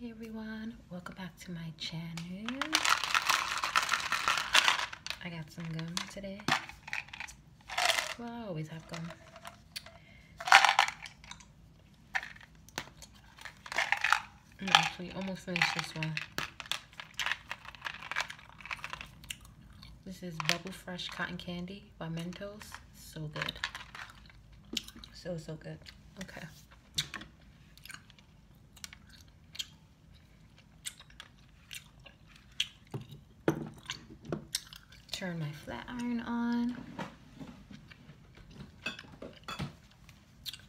Hey everyone, welcome back to my channel. I got some gum today. Well, I always have gum. i mm, almost finished this one. This is Bubble Fresh Cotton Candy by Mentos. So good. So, so good. Okay. Turn my flat iron on.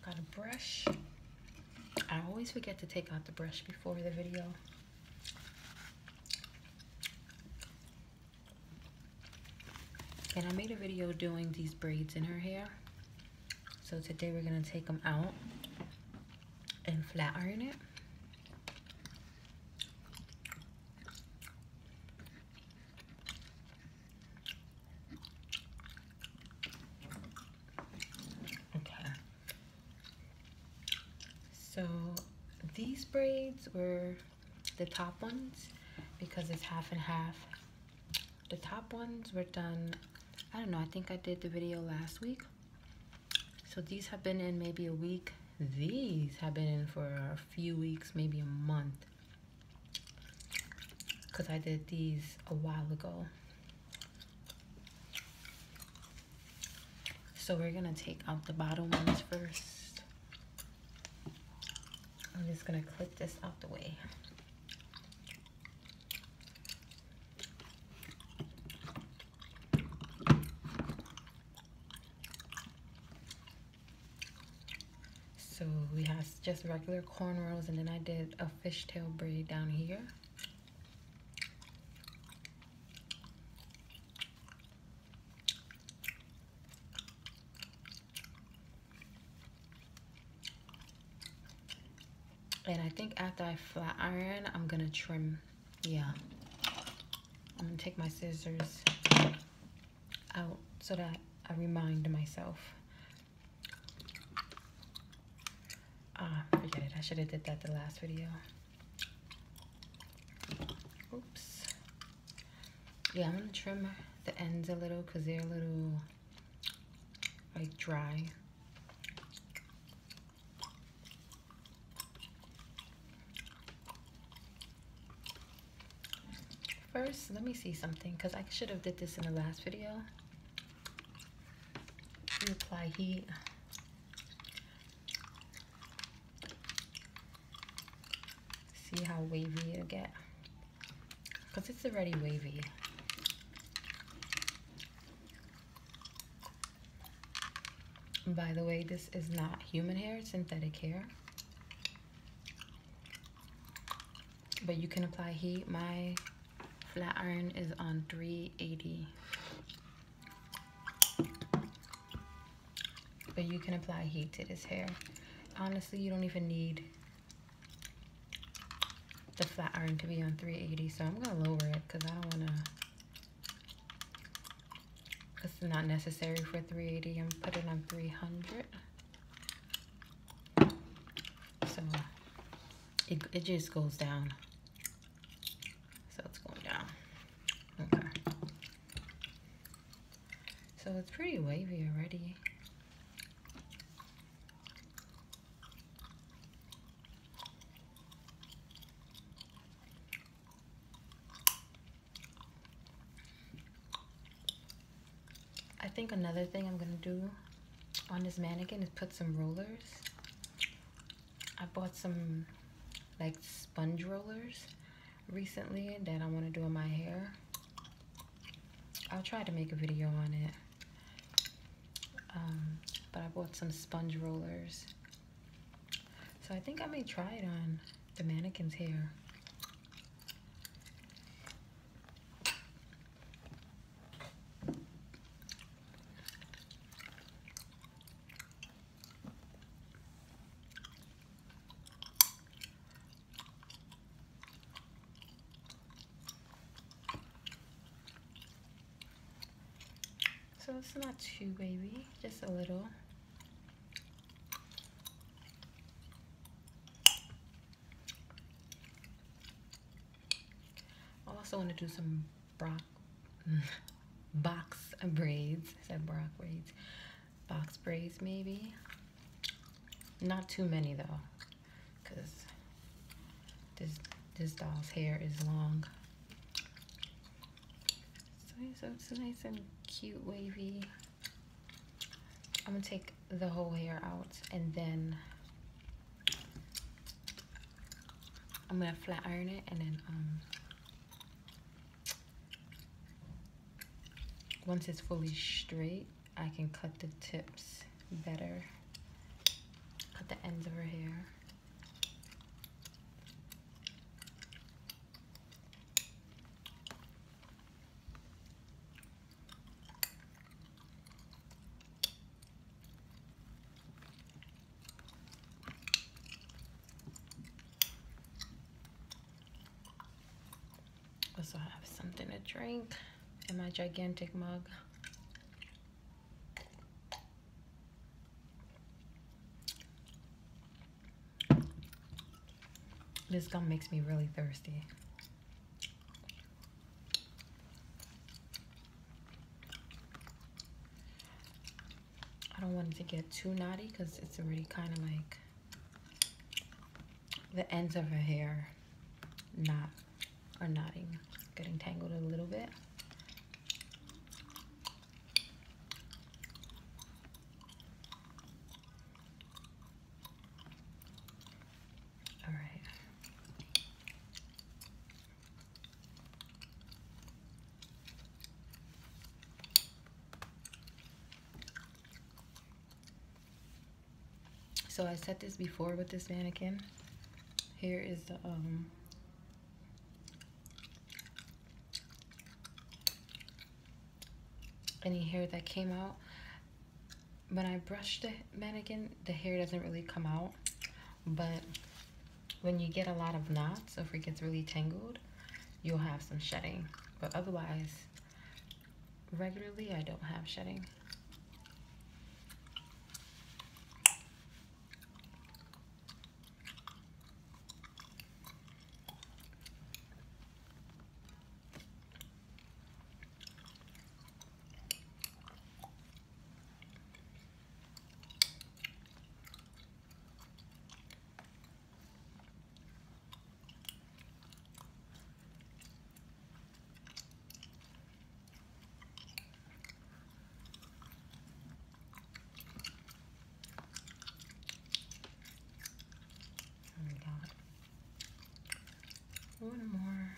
Got a brush. I always forget to take out the brush before the video. And I made a video doing these braids in her hair. So today we're going to take them out and flat iron it. So these braids were the top ones because it's half and half. The top ones were done, I don't know, I think I did the video last week. So these have been in maybe a week. These have been in for a few weeks, maybe a month. Because I did these a while ago. So we're going to take out the bottom ones first. I'm just gonna clip this out the way. So we have just regular cornrows and then I did a fishtail braid down here. And I think after I flat iron, I'm gonna trim. Yeah. I'm gonna take my scissors out so that I remind myself. Ah, forget it. I should have did that the last video. Oops yeah i'm gonna trim the ends a little because they're a little like dry first let me see something because i should have did this in the last video you apply heat see how wavy it'll get because it's already wavy. By the way, this is not human hair, synthetic hair. But you can apply heat. My flat iron is on 380. But you can apply heat to this hair. Honestly, you don't even need the flat iron to be on 380 so I'm gonna lower it because I don't wanna it's not necessary for 380 I'm putting on 300 so it just goes down so it's going down okay so it's pretty wavy already I think another thing I'm gonna do on this mannequin is put some rollers. I bought some like sponge rollers recently that I want to do in my hair. I'll try to make a video on it. Um, but I bought some sponge rollers. So I think I may try it on the mannequin's hair. So it's not too baby, just a little. I also want to do some box braids. I said brock braids. Box braids maybe. Not too many though, because this this doll's hair is long. So it's nice and cute wavy. I'm gonna take the whole hair out and then I'm gonna flat iron it and then um, once it's fully straight I can cut the tips better, cut the ends of her hair. Also have something to drink in my gigantic mug. This gum makes me really thirsty. I don't want it to get too naughty because it's already kind of like the ends of her hair knot or knotting, getting tangled a little bit. All right. So I set this before with this mannequin. Here is the um, any hair that came out. When I brush the mannequin, the hair doesn't really come out. But when you get a lot of knots, so if it gets really tangled, you'll have some shedding. But otherwise, regularly I don't have shedding. And got one more.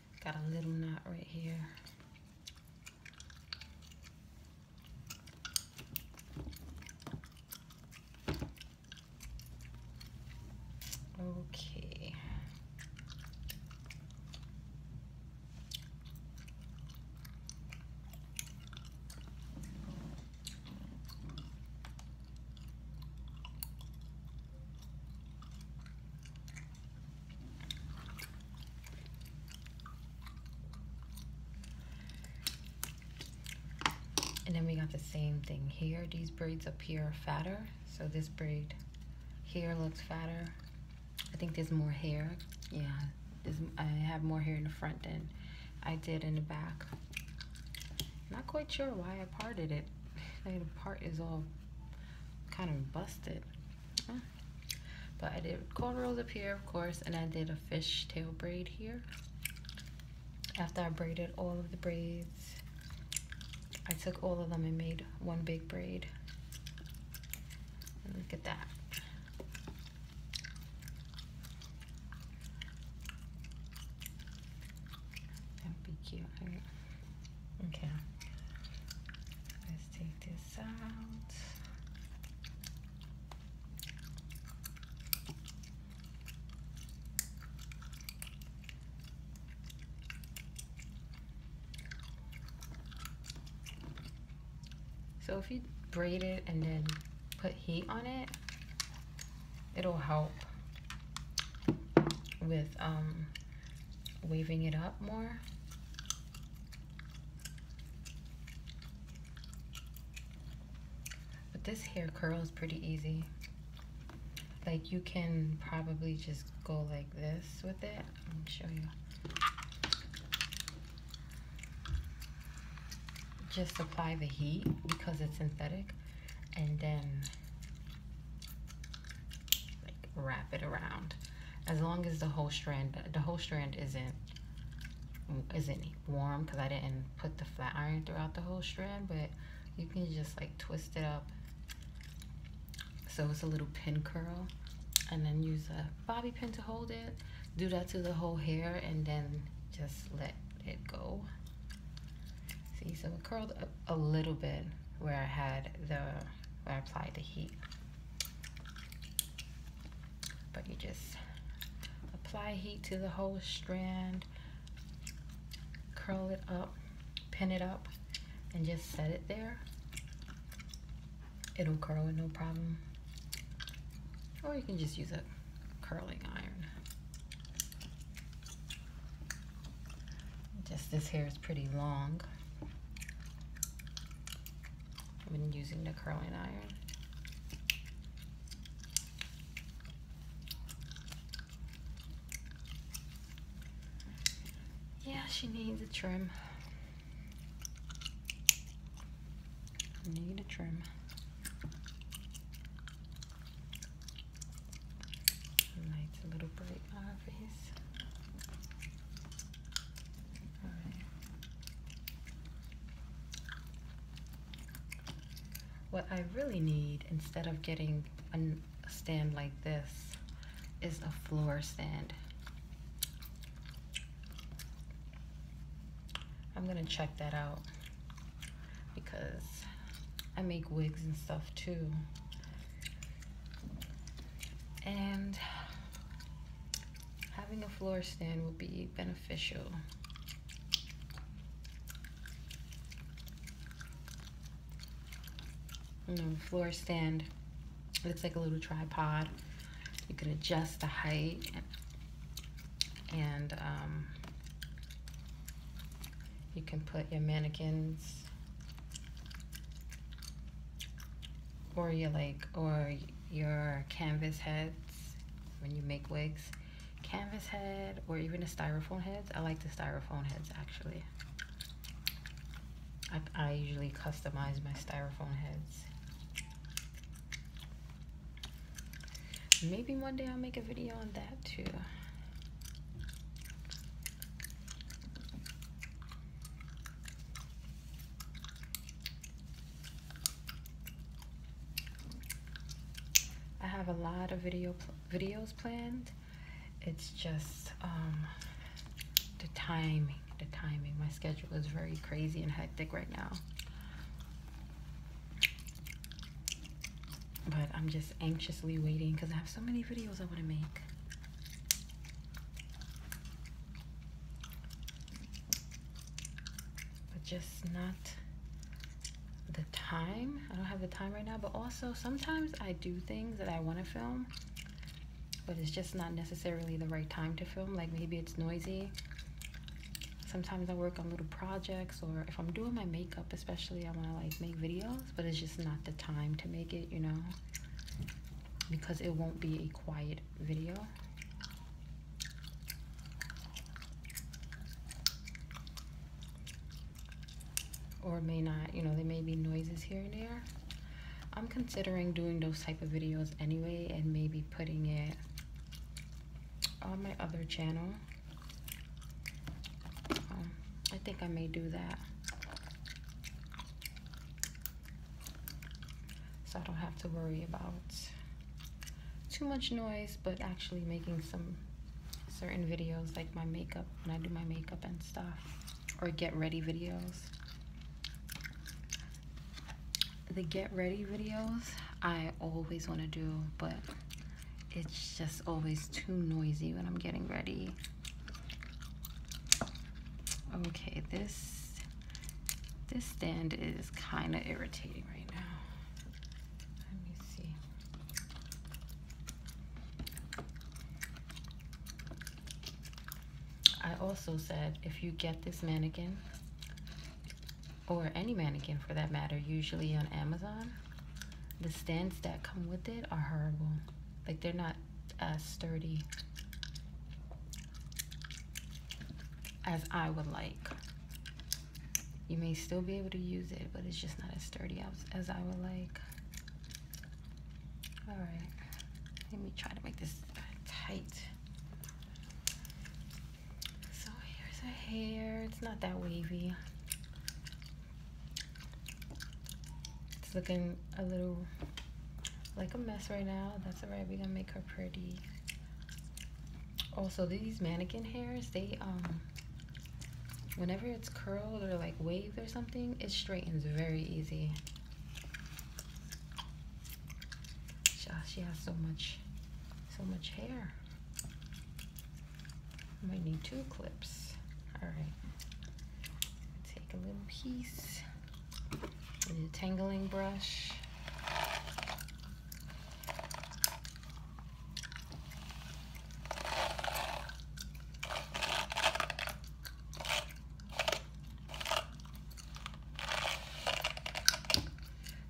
Got a little knot right here. Okay. And then we got the same thing here. These braids appear fatter. So this braid here looks fatter. I think there's more hair. Yeah, I have more hair in the front than I did in the back. Not quite sure why I parted it. the part is all kind of busted but I did cornrows up here of course and I did a fishtail braid here after I braided all of the braids I took all of them and made one big braid look at that that'd be cute right? Okay. Let's take this out. So if you braid it and then put heat on it, it'll help with um, waving it up more. But this hair curl is pretty easy. Like you can probably just go like this with it. Let me show you. Just apply the heat because it's synthetic and then like wrap it around as long as the whole strand the whole strand isn't isn't warm because I didn't put the flat iron throughout the whole strand but you can just like twist it up so it's a little pin curl and then use a bobby pin to hold it do that to the whole hair and then just let it go see so it curled up a little bit where I had the where I applied the heat but you just apply heat to the whole strand, curl it up, pin it up, and just set it there. It'll curl with no problem. Or you can just use a curling iron. Just this hair is pretty long. I've been using the curling iron. Yeah, she needs a trim. Need a trim. Nice little break on what I really need, instead of getting a stand like this, is a floor stand. I'm gonna check that out because I make wigs and stuff too. And having a floor stand will be beneficial. floor stand, it's like a little tripod. You can adjust the height and um, you can put your mannequins or your like or your canvas heads when you make wigs canvas head or even the styrofoam heads I like the styrofoam heads actually I, I usually customize my styrofoam heads maybe one day I'll make a video on that too I have a lot of video videos planned. It's just um, the timing, the timing. My schedule is very crazy and hectic right now. But I'm just anxiously waiting because I have so many videos I want to make but just not the time. I don't have the time right now, but also sometimes I do things that I want to film, but it's just not necessarily the right time to film. Like maybe it's noisy. Sometimes I work on little projects or if I'm doing my makeup, especially I want to like make videos, but it's just not the time to make it, you know? because it won't be a quiet video. Or may not, you know, there may be noises here and there. I'm considering doing those type of videos anyway and maybe putting it on my other channel. Um, I think I may do that so I don't have to worry about too much noise but actually making some certain videos like my makeup when I do my makeup and stuff or get ready videos the get ready videos I always want to do but it's just always too noisy when I'm getting ready okay this this stand is kind of irritating right now. Let me see. I also said if you get this mannequin, or any mannequin for that matter, usually on Amazon, the stands that come with it are horrible. Like they're not as uh, sturdy as I would like. You may still be able to use it, but it's just not as sturdy as, as I would like. All right, let me try to make this uh, tight. So here's her hair. It's not that wavy. It's looking a little like a mess right now. That's all right. We're going to make her pretty. Also, these mannequin hairs, they, um, whenever it's curled or like waved or something, it straightens very easy. She ah, has so much, so much hair. I might need two clips. All right, take a little piece and tangling brush.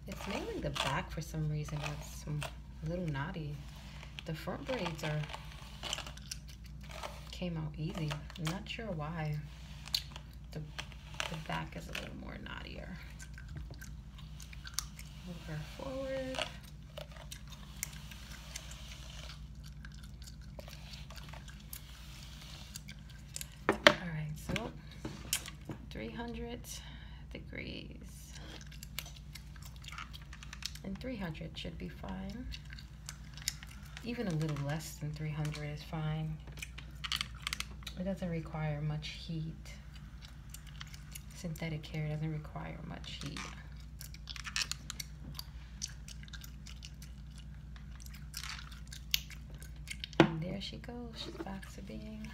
It's mainly the back for some reason that's a little knotty. The front braids are came out easy. not sure why. The, the back is a little more knottier. Move forward. All right, so 300 degrees. And 300 should be fine even a little less than 300 is fine. It doesn't require much heat. Synthetic hair doesn't require much heat. And there she goes, she's back to being.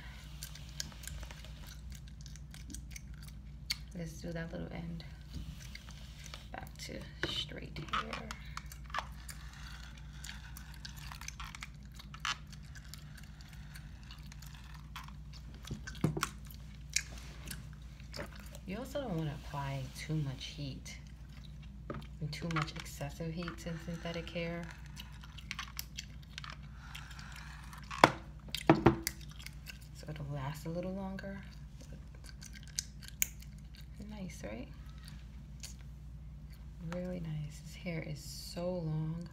Let's do that little end. Back to straight hair. You also don't want to apply too much heat and too much excessive heat to synthetic hair. So it'll last a little longer. Nice, right? Really nice. His hair is so long.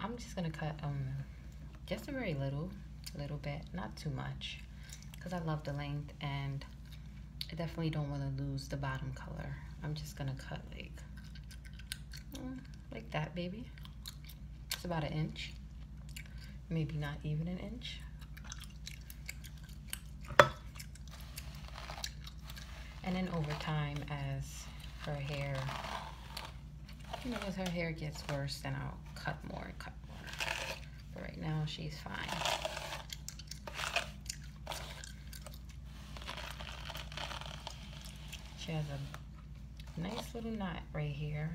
I'm just gonna cut um just a very little, little bit, not too much, because I love the length and I definitely don't want to lose the bottom color. I'm just gonna cut like mm, like that, baby. It's about an inch, maybe not even an inch. And then over time, as her hair, you know, as her hair gets worse, then I'll cut more and cut more. But right now, she's fine. She has a nice little knot right here.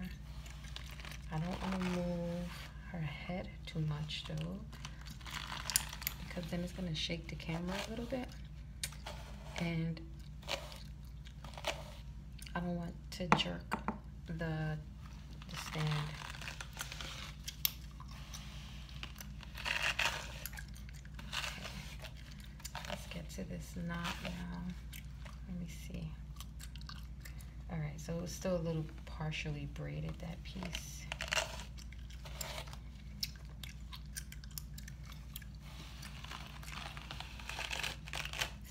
I don't want to move her head too much though because then it's gonna shake the camera a little bit. And I don't want to jerk the, stand. Okay. Let's get to this knot now. Let me see. All right, so it's still a little partially braided, that piece.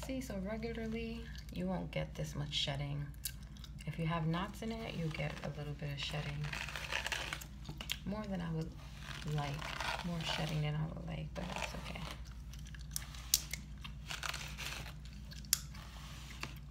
See, so regularly you won't get this much shedding. If you have knots in it, you get a little bit of shedding. More than I would like. More shedding than I would like, but it's okay.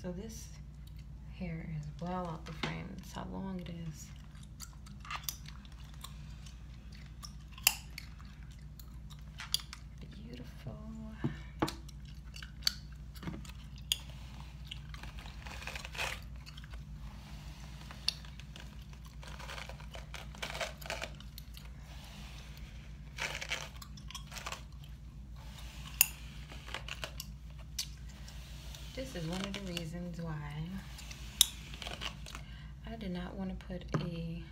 So this hair is well out the frame. That's how long it is. Beautiful. This is one of the reasons why I did not want to put a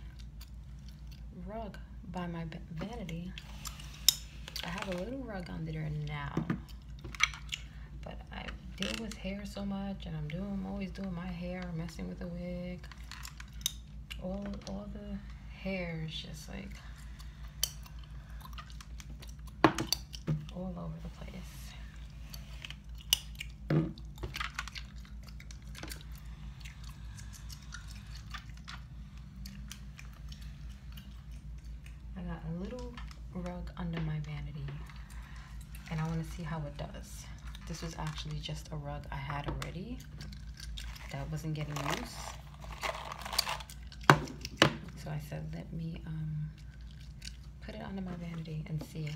rug by my vanity. I have a little rug under there now, but I deal with hair so much and I'm doing, always doing my hair, messing with the wig. All, all the hair is just like all over the place. I got a little rug under my vanity and I want to see how it does. This was actually just a rug I had already that wasn't getting used. So I said, let me um, put it under my vanity and see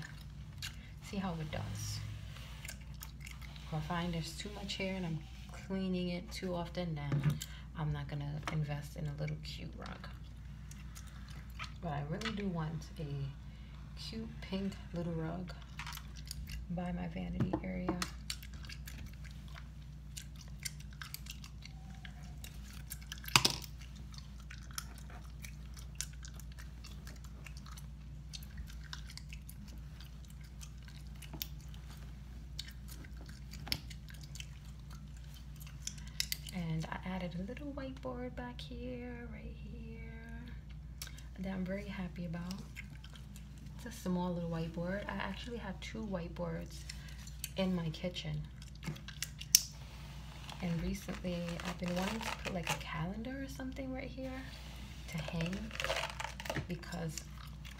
see how it does. I find there's too much hair and I'm cleaning it too often, Now I'm not gonna invest in a little cute rug. But I really do want a cute pink little rug by my vanity area. And I added a little whiteboard back here, right here, that I'm very happy about. It's a small little whiteboard. I actually have two whiteboards in my kitchen. And recently I've been wanting to put like a calendar or something right here to hang because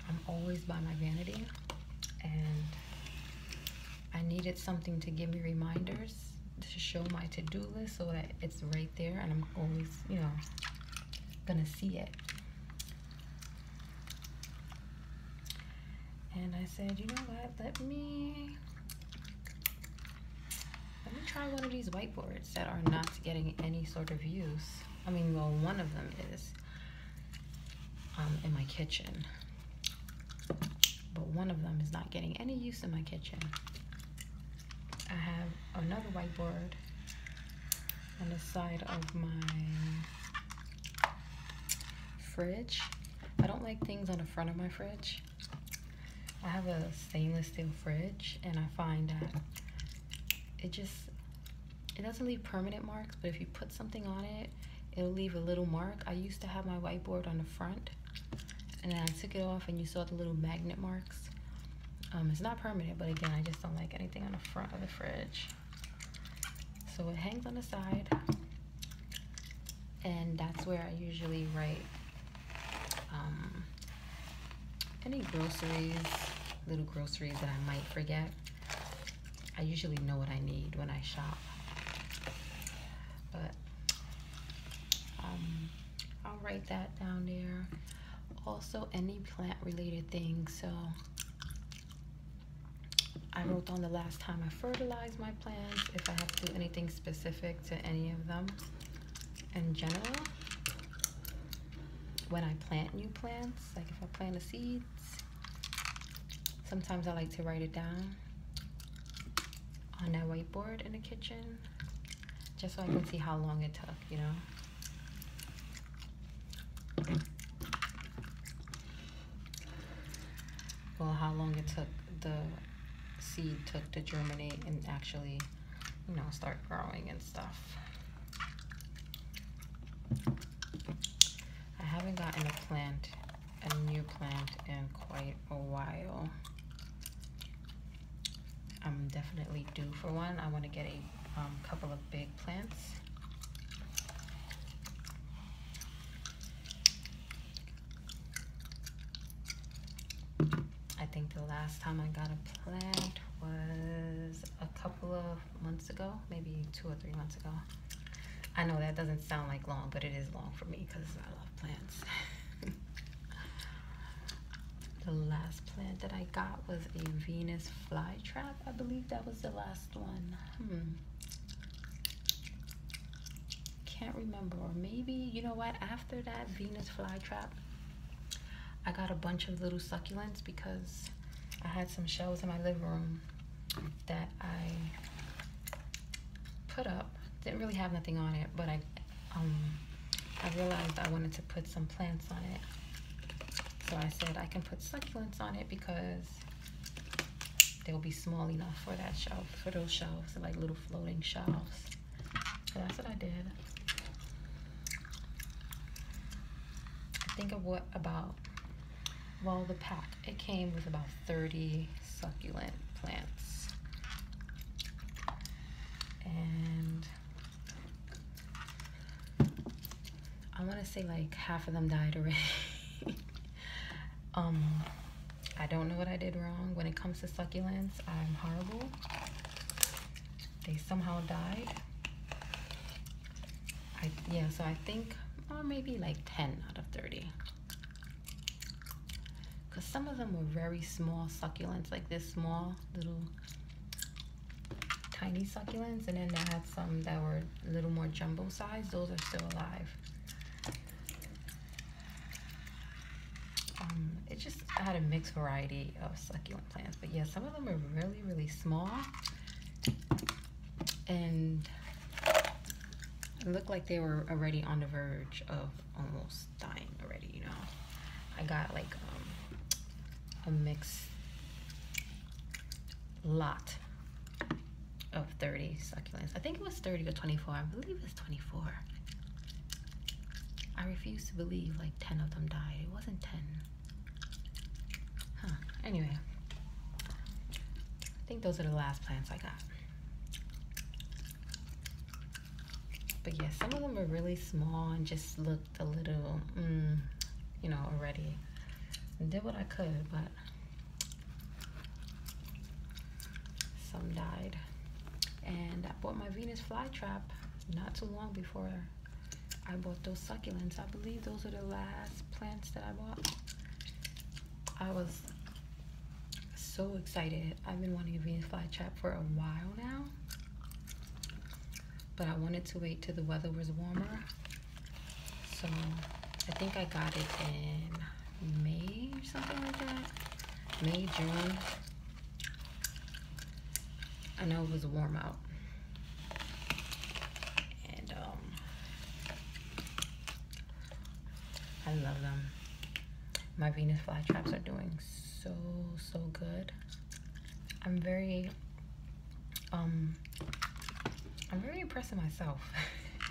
I'm always by my vanity and I needed something to give me reminders to show my to-do list so that it's right there and I'm always, you know, gonna see it. And I said, you know what, let me let me try one of these whiteboards that are not getting any sort of use. I mean, well, one of them is um, in my kitchen. But one of them is not getting any use in my kitchen. I have another whiteboard on the side of my fridge. I don't like things on the front of my fridge. I have a stainless steel fridge and I find that it just, it doesn't leave permanent marks, but if you put something on it, it'll leave a little mark. I used to have my whiteboard on the front and then I took it off and you saw the little magnet marks. Um, it's not permanent, but again, I just don't like anything on the front of the fridge. So it hangs on the side and that's where I usually write um, any groceries, little groceries that I might forget. I usually know what I need when I shop. But um, I'll write that down there. Also, any plant related things. So I wrote down the last time I fertilized my plants, if I have to do anything specific to any of them in general when I plant new plants, like if I plant the seeds, sometimes I like to write it down on a whiteboard in the kitchen, just so I can see how long it took, you know? Well, how long it took the seed took to germinate and actually you know, start growing and stuff. I haven't gotten a plant, a new plant in quite a while. I'm definitely due for one. I want to get a um, couple of big plants. I think the last time I got a plant was a couple of months ago, maybe two or three months ago. I know that doesn't sound like long, but it is long for me because I love plants. the last plant that I got was a Venus flytrap. I believe that was the last one. Hmm. Can't remember. Or maybe, you know what, after that Venus flytrap, I got a bunch of little succulents because I had some shelves in my living room that I put up. Didn't really have nothing on it, but I um, I realized I wanted to put some plants on it. So I said I can put succulents on it because they'll be small enough for that shelf, for those shelves, like little floating shelves that's what I did. I think of what about, well, the pack. It came with about 30 succulent plants. And I want to say like half of them died already. um, I don't know what I did wrong. When it comes to succulents, I'm horrible they somehow died. yeah, so I think, or oh, maybe like 10 out of 30. Because some of them were very small succulents, like this small little tiny succulents. And then I had some that were a little more jumbo size. Those are still alive. Um, it just I had a mixed variety of succulent plants. But yeah, some of them were really, really small. And looked like they were already on the verge of almost dying already, you know. I got like um, a mixed lot of 30 succulents. I think it was 30 or 24. I believe it's 24. I refuse to believe like 10 of them died. It wasn't 10. Huh. Anyway, I think those are the last plants I got. But yeah, some of them were really small and just looked a little, mm, you know, already. did what I could, but some died. And I bought my Venus flytrap not too long before I bought those succulents. I believe those are the last plants that I bought. I was so excited. I've been wanting a Venus flytrap for a while now. But I wanted to wait till the weather was warmer. So I think I got it in May or something like that. May, June. I know it was warm out. And um, I love them. My Venus flytraps are doing so, so good. I'm very, um, I'm very impressed myself.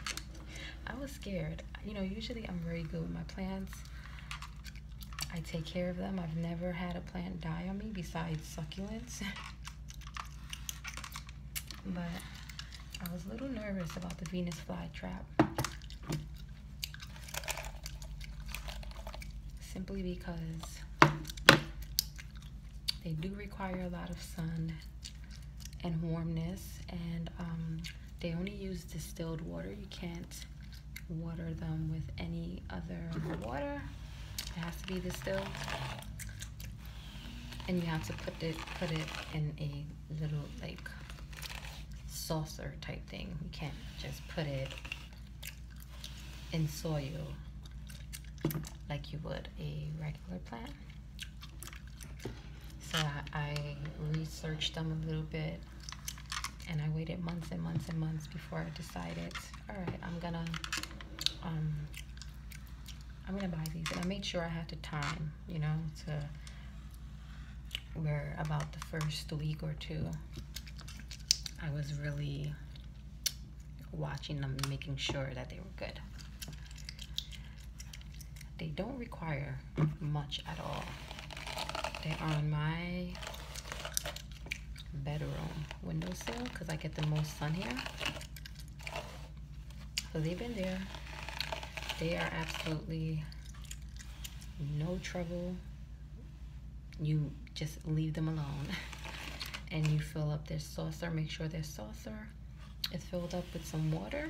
I was scared. You know, usually I'm very good with my plants. I take care of them. I've never had a plant die on me besides succulents. but I was a little nervous about the Venus flytrap. Simply because they do require a lot of sun and warmness and um, they only use distilled water. You can't water them with any other water. It has to be distilled. And you have to put it put it in a little like saucer type thing. You can't just put it in soil like you would a regular plant. So I, I researched them a little bit and I waited months and months and months before I decided, all right, I'm gonna, um, I'm gonna buy these. And I made sure I had the time, you know, to, where about the first week or two, I was really watching them, making sure that they were good. They don't require much at all. They are on my bedroom windowsill because I get the most sun here. So they've been there. They are absolutely no trouble. You just leave them alone and you fill up their saucer. Make sure their saucer is filled up with some water,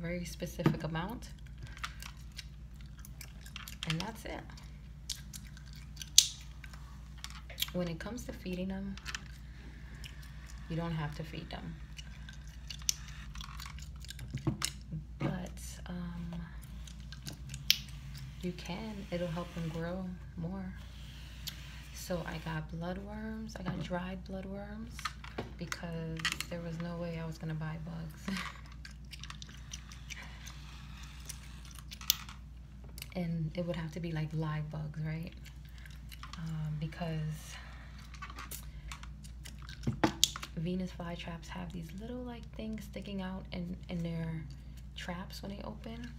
very specific amount. And that's it. When it comes to feeding them, you don't have to feed them. But um, you can, it'll help them grow more. So I got bloodworms, I got dried bloodworms because there was no way I was gonna buy bugs. and it would have to be like live bugs, right? Um, because Venus flytraps have these little like things sticking out in, in their traps when they open.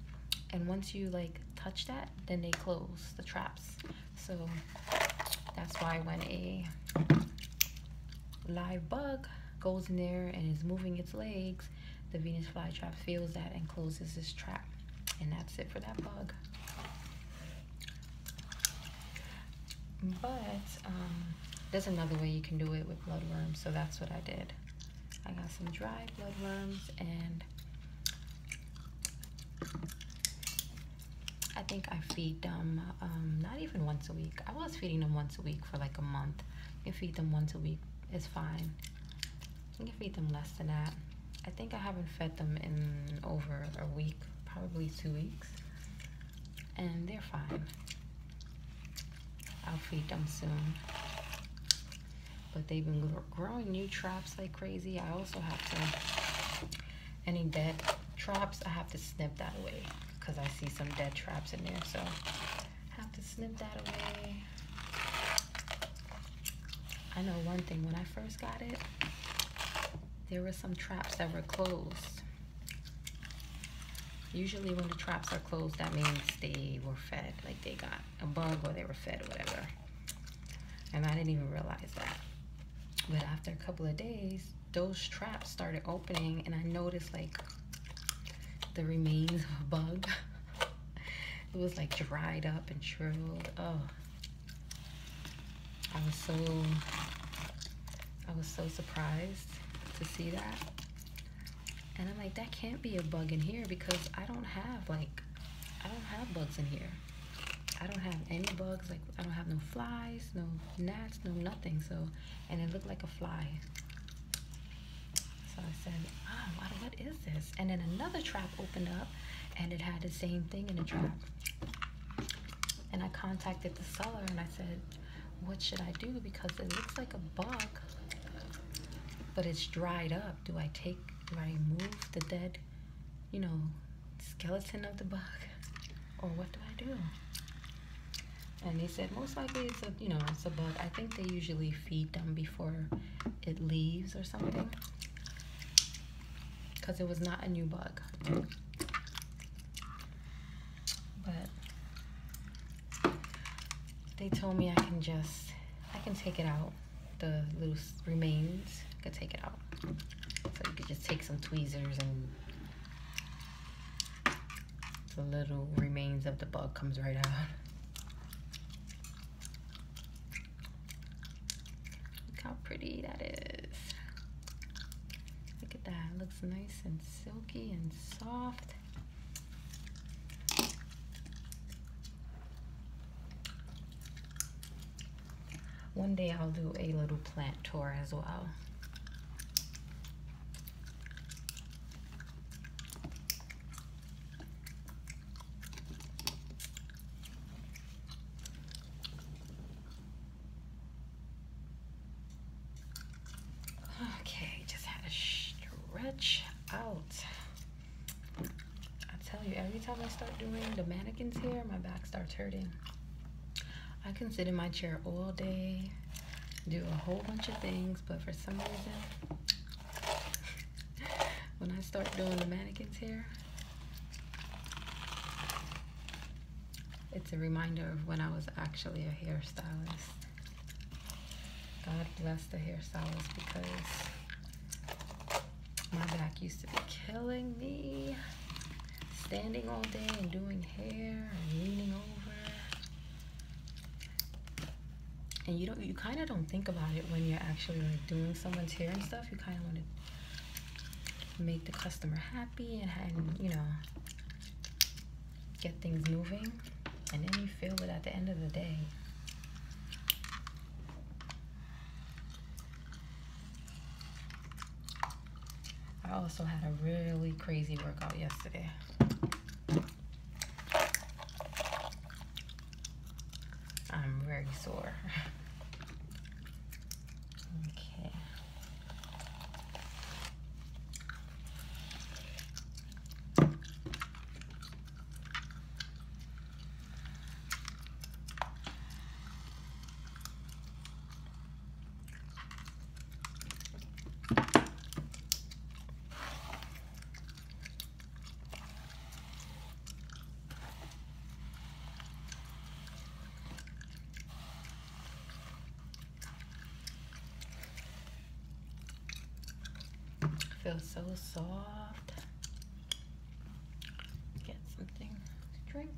And once you like touch that, then they close the traps. So that's why when a live bug goes in there and is moving its legs, the Venus flytrap feels that and closes its trap. And that's it for that bug. But um, there's another way you can do it with bloodworms, so that's what I did. I got some dry bloodworms and I think I feed them um, not even once a week. I was feeding them once a week for like a month. You feed them once a week, it's fine. You can feed them less than that. I think I haven't fed them in over a week, probably two weeks, and they're fine. I'll feed them soon. But they've been growing new traps like crazy. I also have to, any dead traps, I have to snip that away because I see some dead traps in there. So have to snip that away. I know one thing, when I first got it, there were some traps that were closed. Usually when the traps are closed, that means they were fed, like they got a bug or they were fed or whatever. And I didn't even realize that. But after a couple of days, those traps started opening and I noticed like the remains of a bug. it was like dried up and shriveled. Oh, I was so I was so surprised to see that. And I'm like, that can't be a bug in here because I don't have like, I don't have bugs in here. I don't have any bugs. Like I don't have no flies, no gnats, no nothing. So, and it looked like a fly. So I said, oh, what is this? And then another trap opened up and it had the same thing in the trap. And I contacted the seller and I said, what should I do? Because it looks like a bug, but it's dried up. Do I take, do I remove the dead, you know, skeleton of the bug? Or what do I do? and they said most likely it's a you know it's a bug i think they usually feed them before it leaves or something because it was not a new bug but they told me i can just i can take it out the little remains i could take it out so you could just take some tweezers and the little remains of the bug comes right out. Look how pretty that is. Look at that, looks nice and silky and soft. One day I'll do a little plant tour as well. Okay, just had to stretch out. I tell you, every time I start doing the mannequins here, my back starts hurting. I can sit in my chair all day, do a whole bunch of things, but for some reason, when I start doing the mannequins hair, it's a reminder of when I was actually a hairstylist. God bless the hairstylist because my back used to be killing me. Standing all day and doing hair and leaning over and you don't you kind of don't think about it when you're actually like doing someone's hair and stuff you kind of want to make the customer happy and, you know get things moving and then you feel it at the end of the day I also had a really crazy workout yesterday. I'm very sore. okay. Feels so soft. Get something to drink.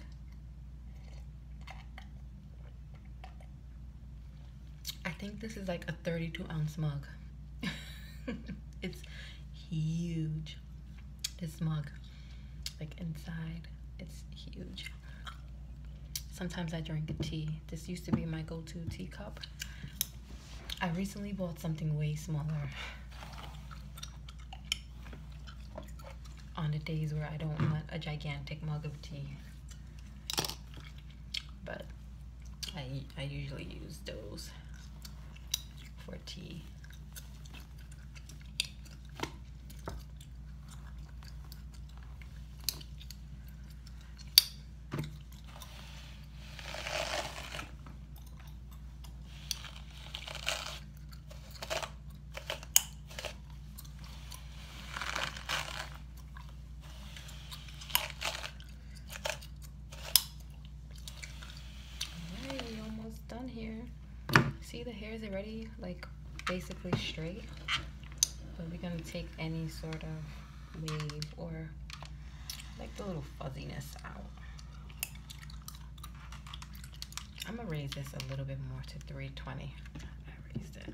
I think this is like a 32 ounce mug. it's huge. This mug, like inside, it's huge. Sometimes I drink tea. This used to be my go-to teacup. I recently bought something way smaller. On the days where I don't want a gigantic mug of tea but I, I usually use those for tea. Alright, we almost done here. See the hair is already like basically straight. But we're gonna take any sort of wave or like the little fuzziness out. I'm gonna raise this a little bit more to 320. I raised it.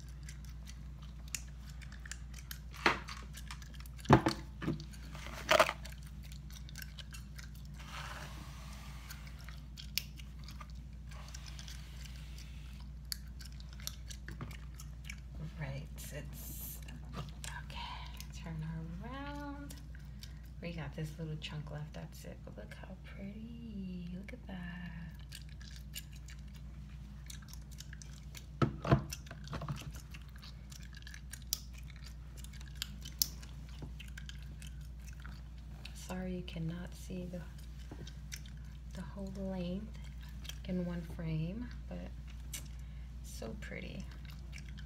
Right, it's okay. Turn her around. We got this little chunk left. That's it. But look how pretty. Look at that. Sorry you cannot see the, the whole length in one frame, but so pretty.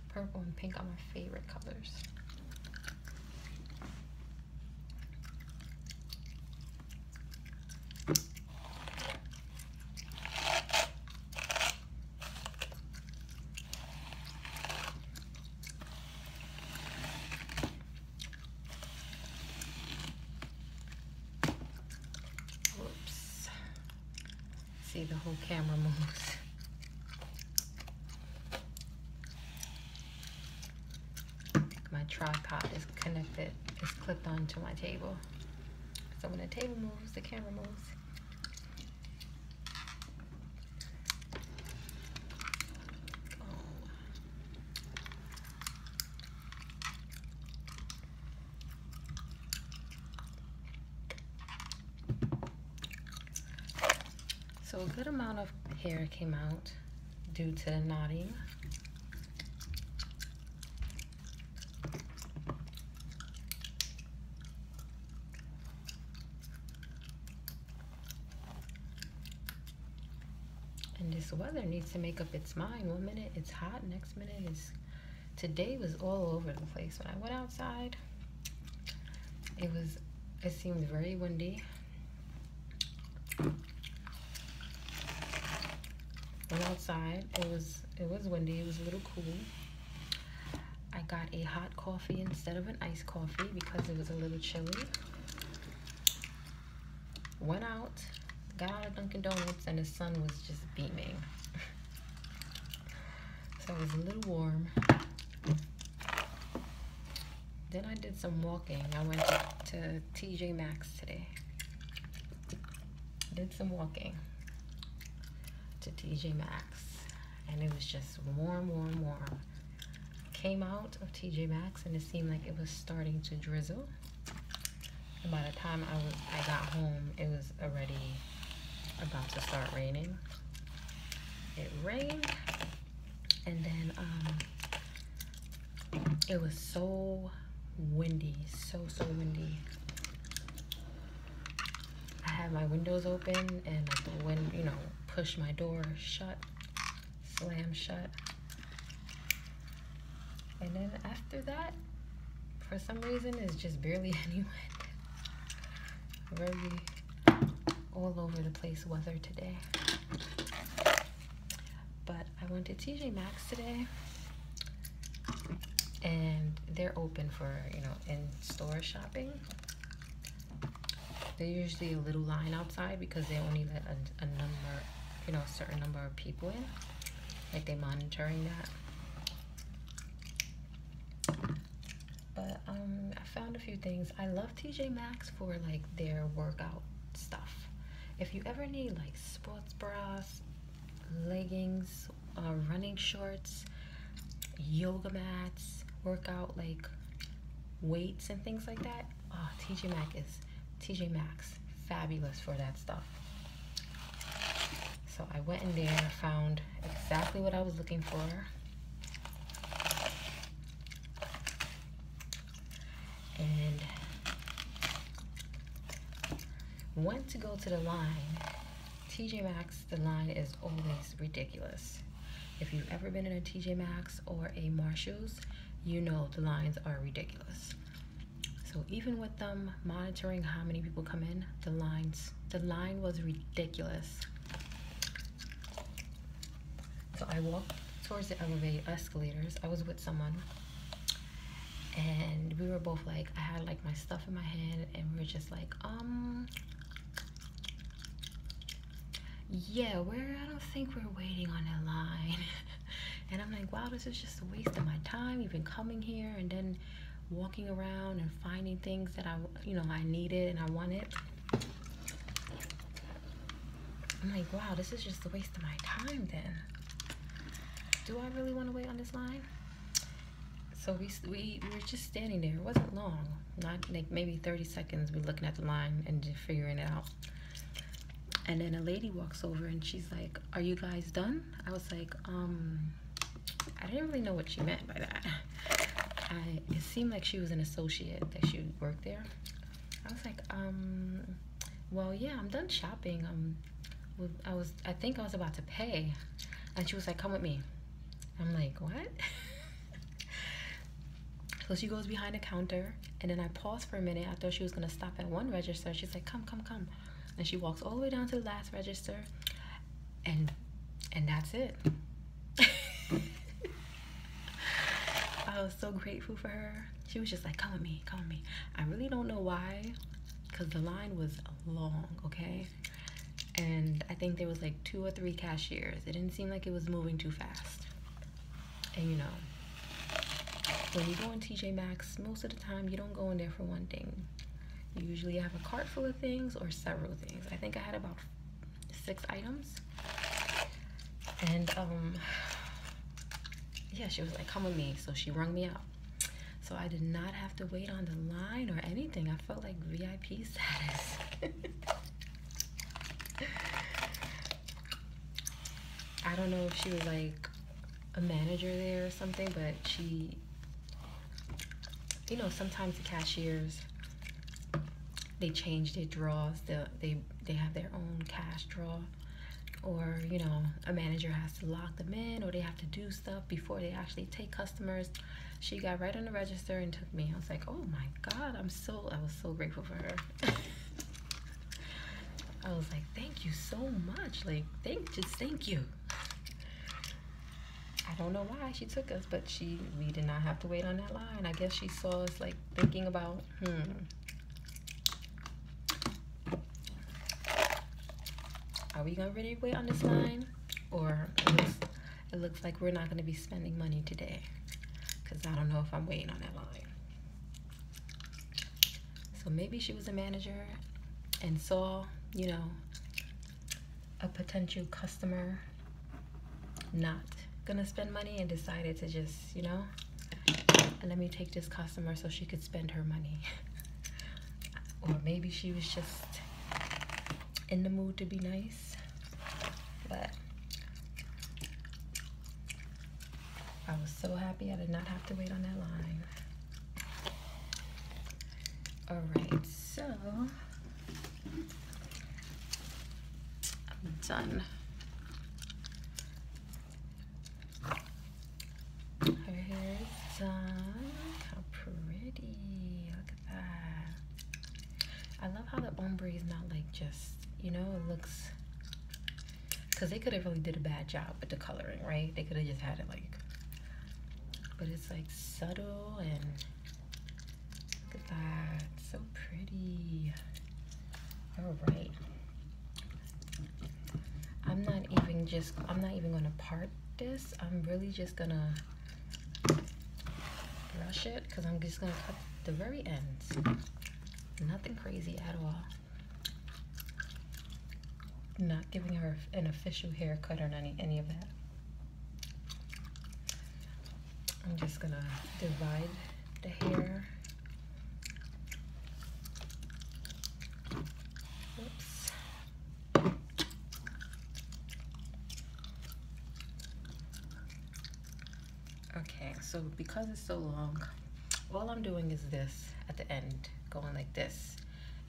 Purple and pink are my favorite colors. Oops. See, the whole camera moves my tripod is connected, it's clipped onto my table. So when the table moves, the camera moves. So a good amount of hair came out due to the knotting. And this weather needs to make up its mind. One minute it's hot, next minute it's. Today was all over the place. When I went outside, it was, it seemed very windy. Went outside. It was it was windy. It was a little cool. I got a hot coffee instead of an iced coffee because it was a little chilly. Went out, got a Dunkin' Donuts, and the sun was just beaming. so it was a little warm. Then I did some walking. I went to TJ Maxx today did some walking to TJ Maxx and it was just warm, warm, warm. Came out of TJ Maxx and it seemed like it was starting to drizzle. And by the time I, was, I got home, it was already about to start raining. It rained and then um, it was so windy, so, so windy. I had my windows open and like you know, pushed my door shut, slam shut. And then after that, for some reason, it's just barely any wind. Very all over the place weather today. But I went to TJ Maxx today and they're open for, you know, in-store shopping. they usually a little line outside because they only let a, a number, you know, a certain number of people in. Like they monitoring that. But um, I found a few things. I love TJ Maxx for like their workout stuff. If you ever need like sports bras, leggings, uh, running shorts, yoga mats, workout like weights and things like that. Oh, TJ Max is TJ Max fabulous for that stuff. So I went in there, found exactly what I was looking for and went to go to the line. TJ Maxx, the line is always ridiculous. If you've ever been in a TJ Maxx or a Marshalls, you know the lines are ridiculous. So even with them monitoring how many people come in, the lines, the line was ridiculous. So I walked towards the elevator escalators. I was with someone and we were both like i had like my stuff in my hand and we were just like um yeah we're i don't think we're waiting on a line and i'm like wow this is just a waste of my time you've been coming here and then walking around and finding things that i you know i needed and i wanted i'm like wow this is just a waste of my time then do I really want to wait on this line? So we, we, were just standing there. It wasn't long, not like maybe 30 seconds. We're looking at the line and figuring it out. And then a lady walks over and she's like, are you guys done? I was like, um, I didn't really know what she meant by that. it seemed like she was an associate that she worked there. I was like, um, well, yeah, I'm done shopping. Um, I was I think I was about to pay and she was like come with me I'm like what so she goes behind the counter and then I paused for a minute I thought she was gonna stop at one register she's like come come come and she walks all the way down to the last register and and that's it I was so grateful for her she was just like come with me come with me I really don't know why because the line was long, okay? And I think there was like two or three cashiers. It didn't seem like it was moving too fast. And you know, when you go in TJ Maxx, most of the time you don't go in there for one thing. You usually have a cart full of things or several things. I think I had about six items. And um, yeah, she was like, come with me. So she rung me up. So I did not have to wait on the line or anything. I felt like VIP status. I don't know if she was like a manager there or something, but she, you know, sometimes the cashiers, they change their draws. They, they, they have their own cash draw or you know a manager has to lock them in or they have to do stuff before they actually take customers she got right on the register and took me i was like oh my god i'm so i was so grateful for her i was like thank you so much like thank just thank you i don't know why she took us but she we did not have to wait on that line i guess she saw us like thinking about hmm are we gonna really wait on this line? Or it looks, like we're not gonna be spending money today. Cause I don't know if I'm waiting on that line. So maybe she was a manager and saw, you know, a potential customer not gonna spend money and decided to just, you know, let me take this customer so she could spend her money. or maybe she was just in the mood to be nice but I was so happy I did not have to wait on that line all right so I'm done her hair is done. How pretty. Look at that. I love how the ombre is not like just, you know, it looks because they could have really did a bad job with the coloring, right? They could have just had it like but it's like subtle and look at that. So pretty. All right. I'm not even just, I'm not even gonna part this. I'm really just gonna brush it because I'm just gonna cut the very ends. Nothing crazy at all. Not giving her an official haircut or any, any of that. I'm just gonna divide the hair. Oops. Okay, so because it's so long, all I'm doing is this at the end, going like this,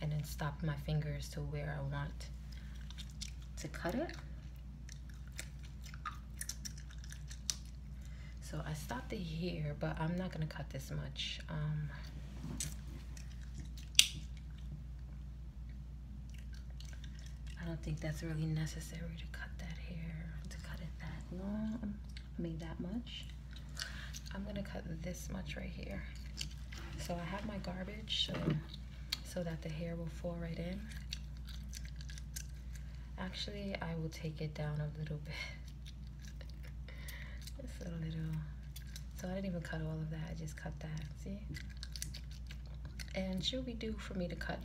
and then stop my fingers to where I want to cut it. So I stopped it here, but I'm not gonna cut this much. Um, I don't think that's really necessary to cut that hair, to cut it that long, I that much. I'm gonna cut this much right here. So I have my garbage so that the hair will fall right in. Actually, I will take it down a little bit. So I didn't even cut all of that. I just cut that. See? And she'll do for me to cut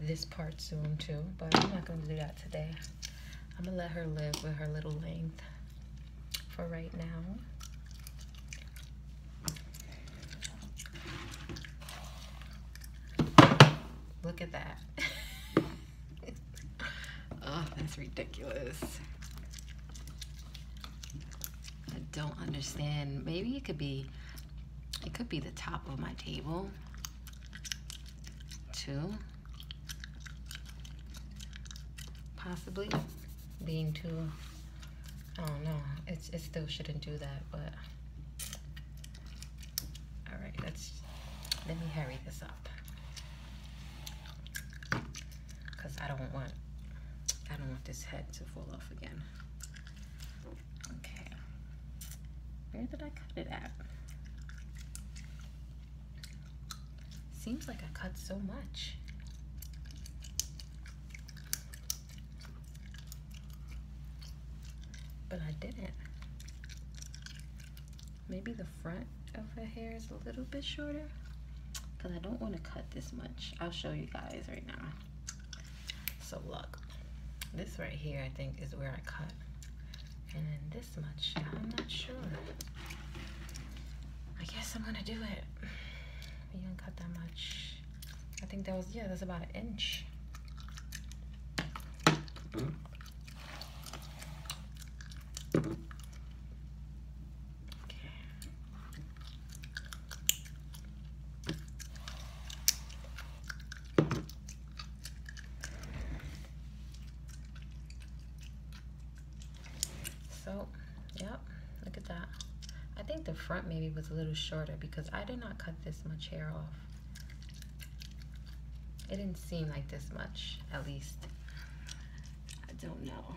this part soon too, but I'm not going to do that today. I'm going to let her live with her little length for right now. Look at that. oh, that's ridiculous. I don't understand. Maybe it could be, it could be the top of my table too. Possibly being too, I don't know. It's, it still shouldn't do that, but all right, let's, let me hurry this up because I don't want I don't want this head to fall off again. Okay. Where did I cut it at? Seems like I cut so much. But I didn't maybe the front of her hair is a little bit shorter because I don't want to cut this much. I'll show you guys right now. So look, this right here I think is where I cut. And then this much, I'm not sure. I guess I'm gonna do it. You didn't cut that much. I think that was, yeah, that's about an inch. So, yep, look at that. I think the front maybe was a little shorter because I did not cut this much hair off. It didn't seem like this much, at least. I don't know.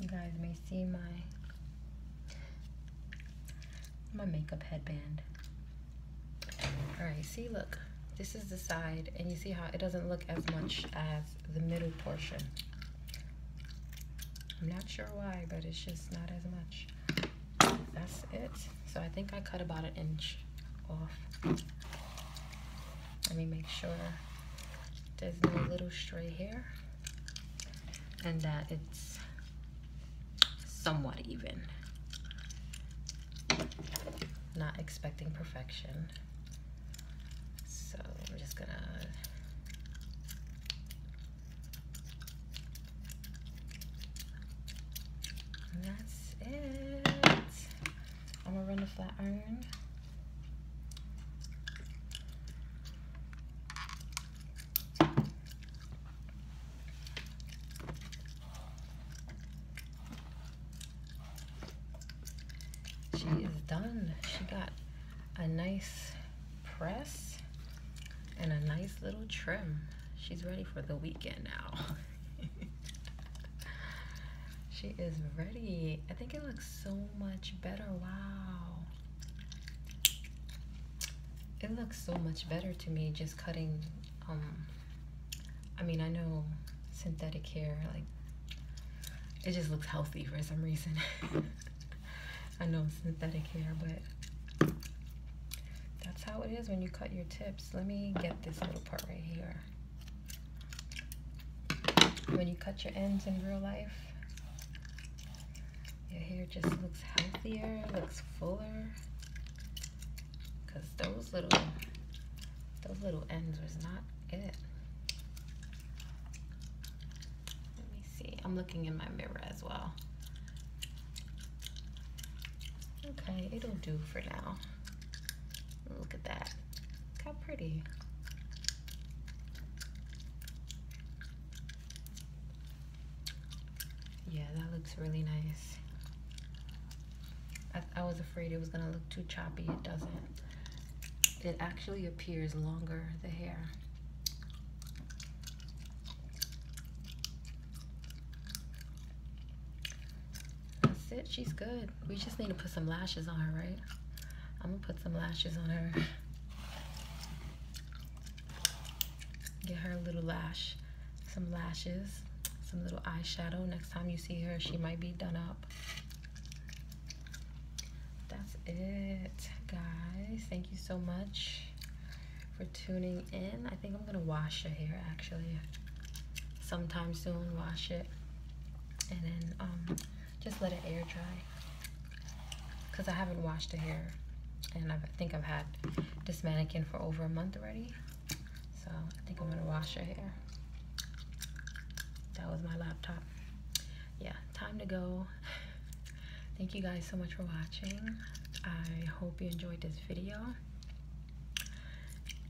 You guys may see my my makeup headband. All right, see, look, this is the side and you see how it doesn't look as much as the middle portion. I'm not sure why, but it's just not as much. That's it. So I think I cut about an inch. Let me make sure there's no little stray hair and that it's somewhat even. Not expecting perfection. So I'm just gonna that's it. I'm gonna run the flat iron. She is done. She got a nice press and a nice little trim. She's ready for the weekend now. she is ready. I think it looks so much better. Wow. It looks so much better to me just cutting um I mean, I know synthetic hair like it just looks healthy for some reason. I know synthetic hair, but that's how it is when you cut your tips. Let me get this little part right here. When you cut your ends in real life, your hair just looks healthier, looks fuller. Cause those little, those little ends was not it. Let me see, I'm looking in my mirror as well. Okay, it'll do for now. Look at that. Look how pretty. Yeah, that looks really nice. I, I was afraid it was gonna look too choppy. It doesn't. It actually appears longer, the hair. That's it. She's good. We just need to put some lashes on her, right? I'm going to put some lashes on her. Get her a little lash. Some lashes. Some little eyeshadow. Next time you see her, she might be done up. That's it, guys. Thank you so much for tuning in. I think I'm going to wash her hair, actually sometime soon, wash it, and then um, just let it air dry because I haven't washed the hair and I think I've had this mannequin for over a month already. So I think I'm gonna wash her hair. That was my laptop. Yeah, time to go. Thank you guys so much for watching. I hope you enjoyed this video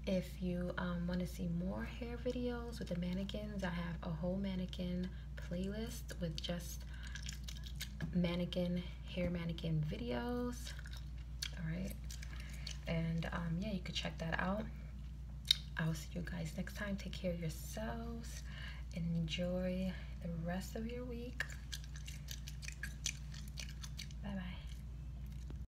if you um, want to see more hair videos with the mannequins, I have a whole mannequin playlist with just mannequin, hair mannequin videos. All right. And um, yeah, you could check that out. I will see you guys next time. Take care of yourselves. Enjoy the rest of your week. Bye-bye.